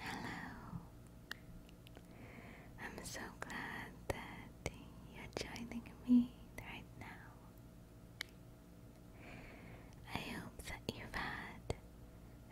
Hello. I'm so glad that you're joining me right now. I hope that you've had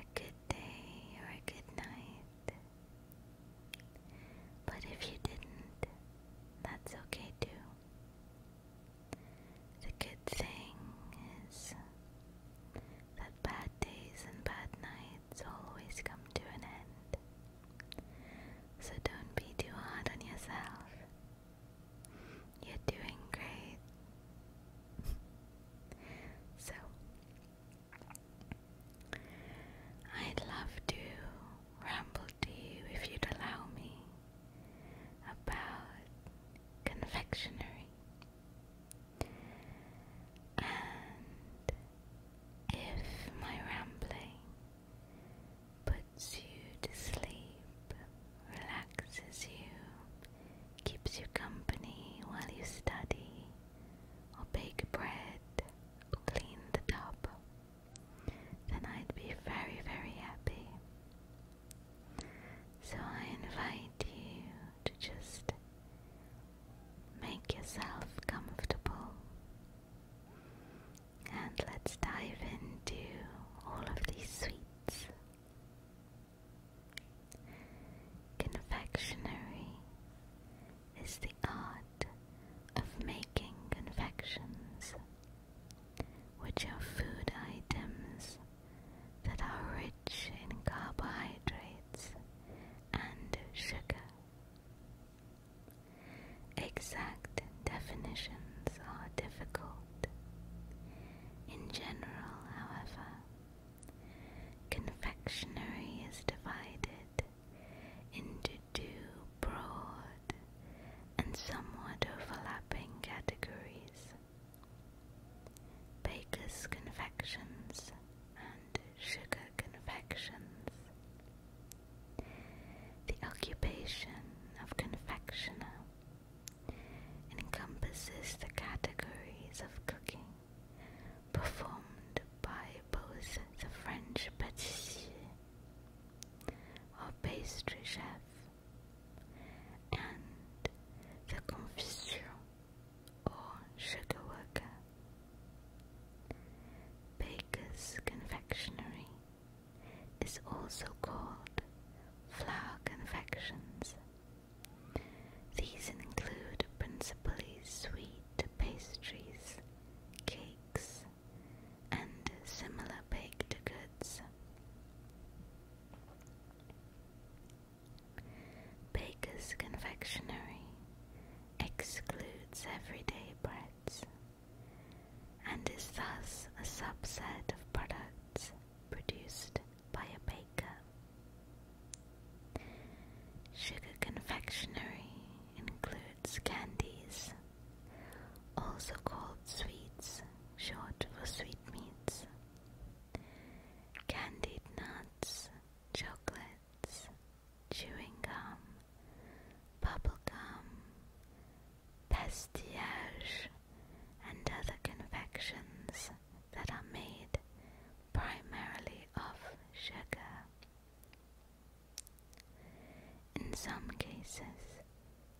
a good day or a good night. But if you didn't, that's okay too. The good thing is that bad days and bad nights always come to an end. So don't be too hard on yourself. You're doing great. so, I'd love to ramble to you if you'd allow me about confectionery. And if my rambling puts you to sleep, relaxes you, keeps you company while you study, or bake bread, clean the tub, then I'd be very, very happy. So I invite you to just make yourself comfortable and let's dive into all of these sweets. Confectionery is the art of making confections, which are food items that are rich in carbohydrates and sugar. Exact definitions are difficult. In general, however, confectionery is divided into two broad and somewhat overlapping categories baker's confections and sugar confections. The occupation of confectioner encompasses the categories of cooking performed by both the French pâtissier or pastry chef and the confiseur or sugar worker. Baker's confectionery is also called flour confections these include principally sweet pastries, cakes, and similar baked goods. Baker's Confectionery excludes everyday breads and is thus a subset of products produced by a baker. Sugar confectionery includes candies, also called sweets, short for sweetmeats, candied nuts, chocolates, chewing gum, bubble gum, pastillage, and other confections that are made primarily of sugar. In some cases,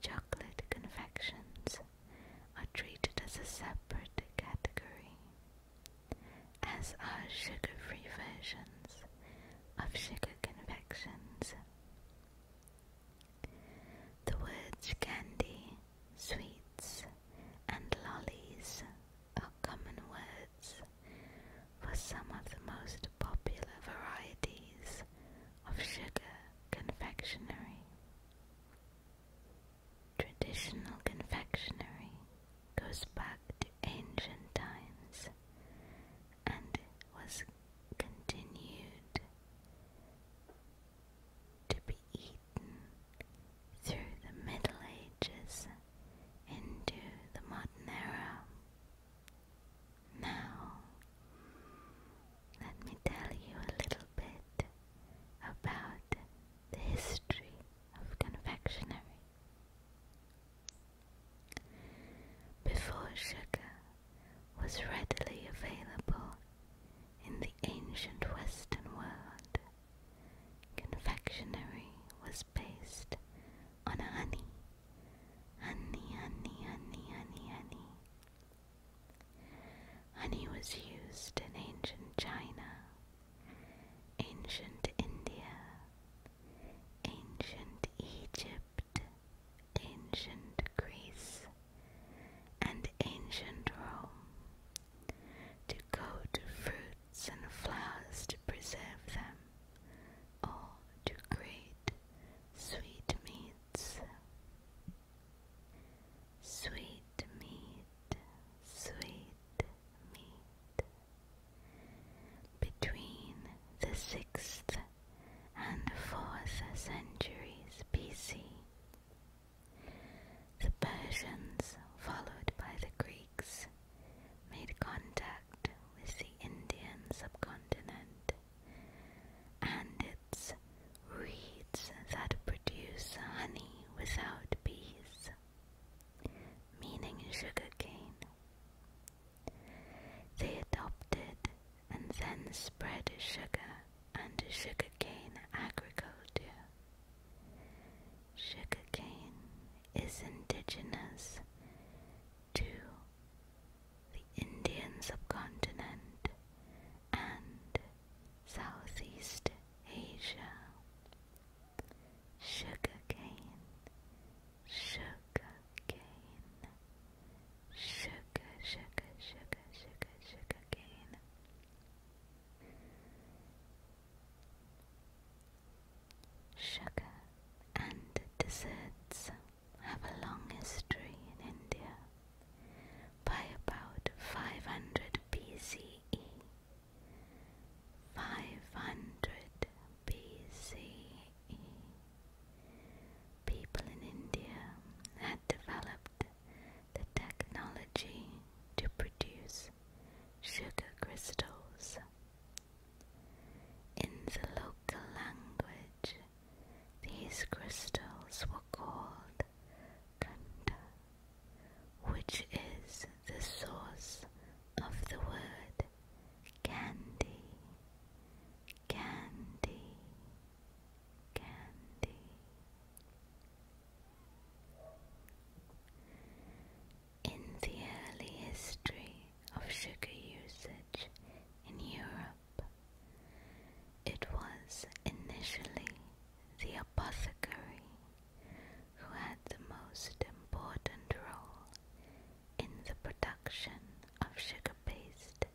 chocolate confections are treated as a separate category, as are sugar free versions of sugar confections. The words candy, sweets, and lollies are common words for some of the most popular varieties of sugar confectionery. Traditional confectionery goes back to ancient times and was continued to be eaten through the Middle Ages into the modern era. Now, let me tell you a little bit about the history of confectionery. Before sugar was readily available in the ancient Western world, confectionery was based on honey. Honey, honey, honey, honey, honey. Honey was used in ancient China, ancient India, ancient Egypt, ancient Greece, and ancient Rome to go fruits and flowers to preserve them, or to create sweetmeats. Sweet meat, sweet meat. Between the sixth and fourth centuries BC, the Persians, followed by the Greeks, made contact with the Indian subcontinent and its reeds that produce honey without bees, meaning sugarcane. They adopted and then spread sugar and sugarcane agriculture. Sugar cane is indigenous to the Indian subcontinent and Southeast Asia. Sugarcane, sugarcane, sugar, sugar, sugar, sugar, sugarcane. Sugar and desserts have a long history in India. By about 500 BCE, 500 BCE, people in India had developed the technology to produce sugar crystals. In the local language, these crystals were called kanta, which is the source of the word candy. Candy, candy. In the early history of sugar usage in Europe, it was initially the apothecary who had the most important role in the production of sugar based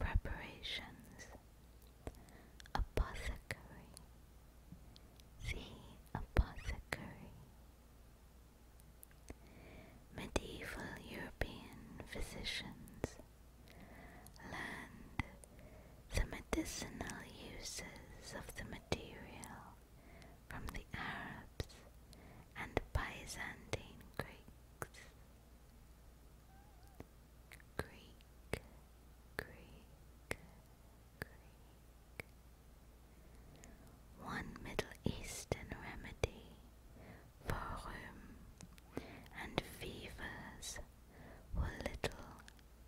preparations. Apothecary the apothecary. Medieval European physicians learned the medicinal uses of the material from the Arabs and Byzantine Greeks. Greek, Greek, one Middle Eastern remedy for rheum and fevers were little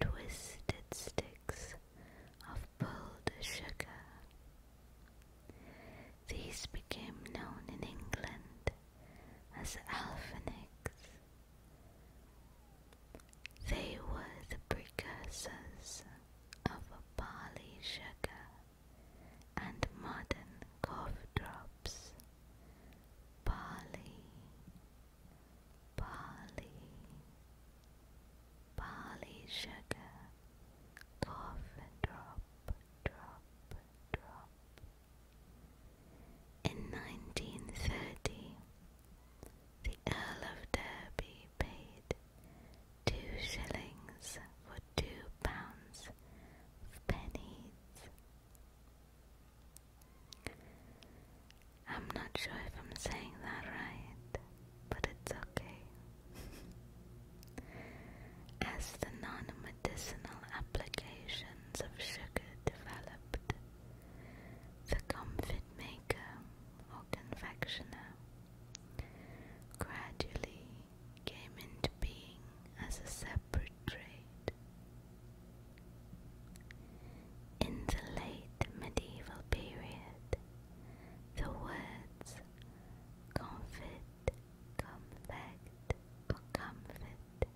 twisted sticks of pulled sugar. These became known in England as alphanix. They were the precursors of barley sugar and modern cough drops. Barley, barley, barley sugar, cough drop, drop, drop. In 1930, the Earl of Derby paid two shillings for two pounds of pennies. I'm not sure if I'm saying that right, but it's okay. As the non medicinal applications of sugar developed, the confidence maker or confectioner, uh, gradually came into being as a separate trade. In the late medieval period, the words confit, confect, or comfort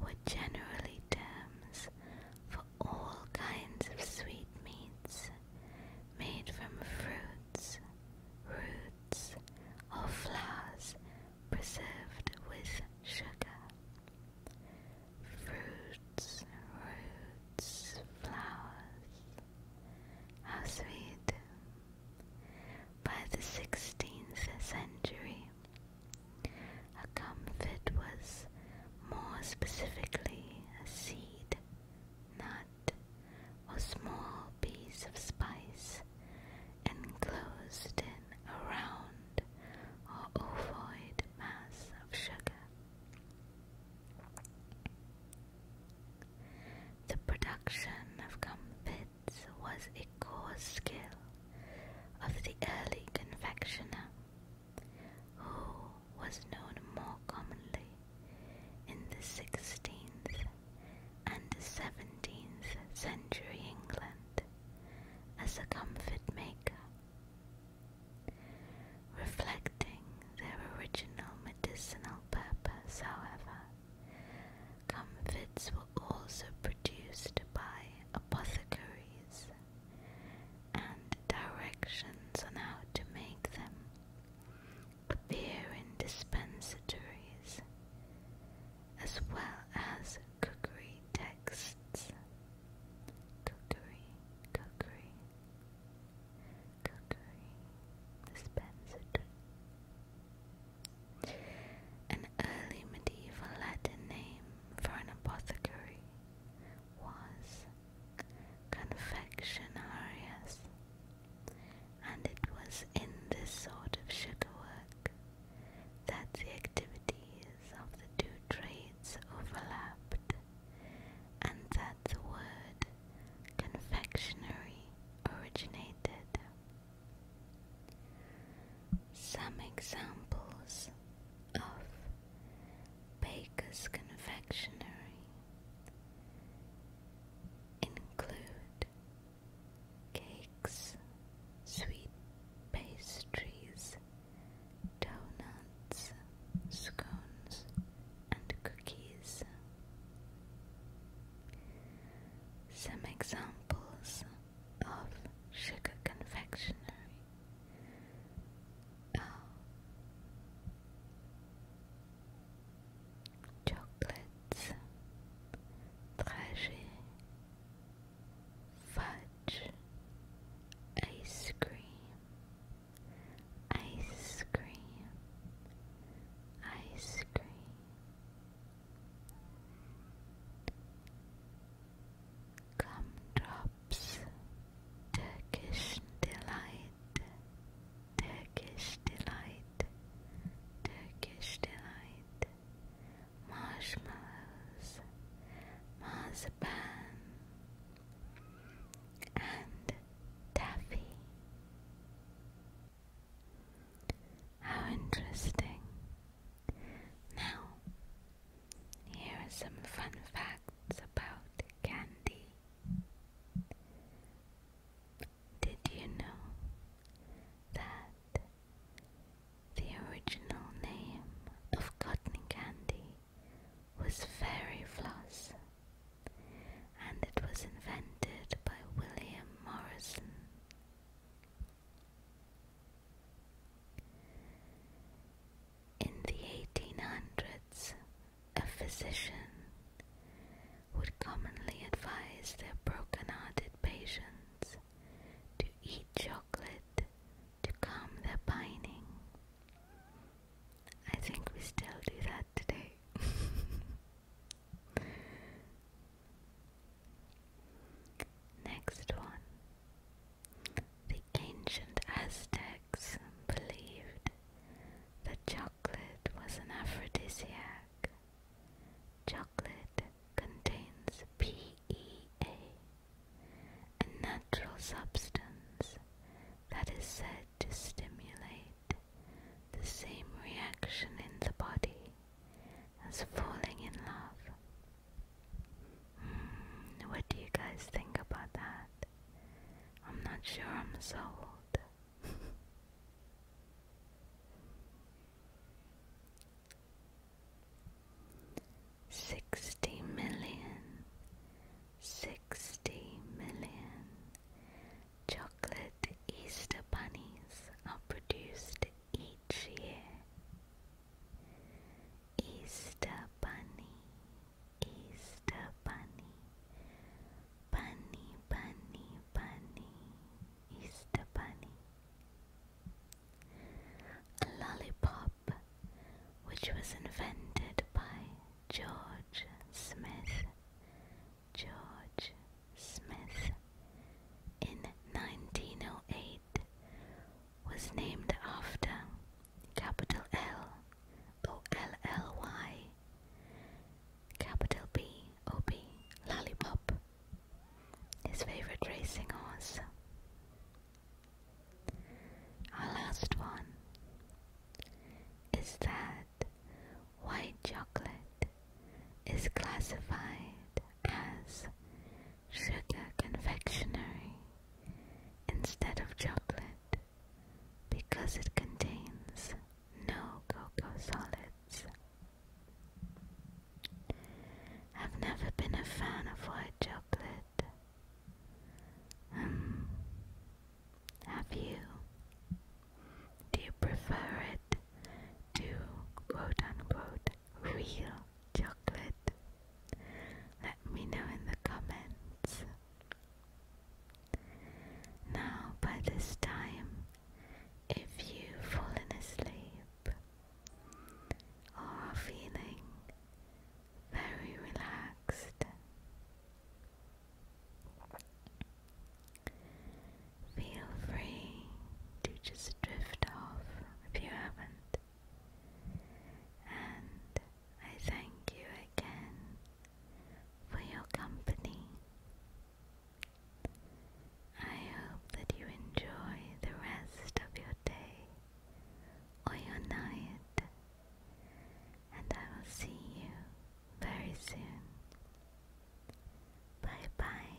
were generally terms for all kinds of sweetmeats made from fruits, roots, or flowers preserved with sugar. Fruits, roots, flowers. How sweet! By the 16th century, a comfit was more specifically a seed, nut, or small piece of spice enclosed in a round or ovoid mass of sugar. The production of comfits was a core skill of the early confectioner who was known more commonly in the 16th and 17th century England as a comfort maker. Reflecting their original medicinal purpose, however, comfits were also produced by apothecaries and directions on how to make them appear in dispensatories as well as cookery texts. Cookery, cookery, cookery, dispensatory. An early medieval Latin name for an apothecary was confectionarius, and it was in this sort of sugar work that the activities of the two trades overlapped, and that the word confectionery originated. Some examples of Baker's Confectionery include cakes, sweet pastries, donuts, scones, and cookies. Some examples of sugar confectionery Oh. Chocolates, trajet, fudge, ice cream, ice cream, ice cream. Gumdrops, Turkish delight, Turkish delight, Turkish delight, marshmallows, marzipan, and taffy. How interesting! Now here are some fun facts about candy. Did you know that the original name of cotton candy was fairy floss and it was invented by William Morrison? In the 1800s, a physician would commonly advise their broken-hearted patients to eat chocolate to calm their pining. I think we still do that today. Next one the ancient Aztecs believed that chocolate was an aphrodisiac. Chocolate contains PEA, a natural substance that is said to stimulate the same reaction in the body as falling in love what do you guys think about that? I'm not sure I'm sold. Sixty million, sixty million chocolate Easter bunnies are produced each year. Easter Bunny, Easter Bunny, Bunny, Bunny, Bunny, Easter Bunny. A lollipop which was invented by George Smith, George Smith in 1908 was named after capital L O L L Y, capital B O B, Lollipop, his favorite racing horse. Our last one is that white chocolate is classified as sugar confectionery instead of chocolate because it contains no cocoa solids. I've never been a fan of white chocolate. Um, have you? Do you prefer it to quote unquote real chocolate? Let me know in the comments. Now, by this time, if you've fallen asleep or are feeling very relaxed, feel free to just drift off if you haven't and I thank you again for your company. I hope that you enjoy the rest of your day or your night, and I will see you very soon. Bye bye.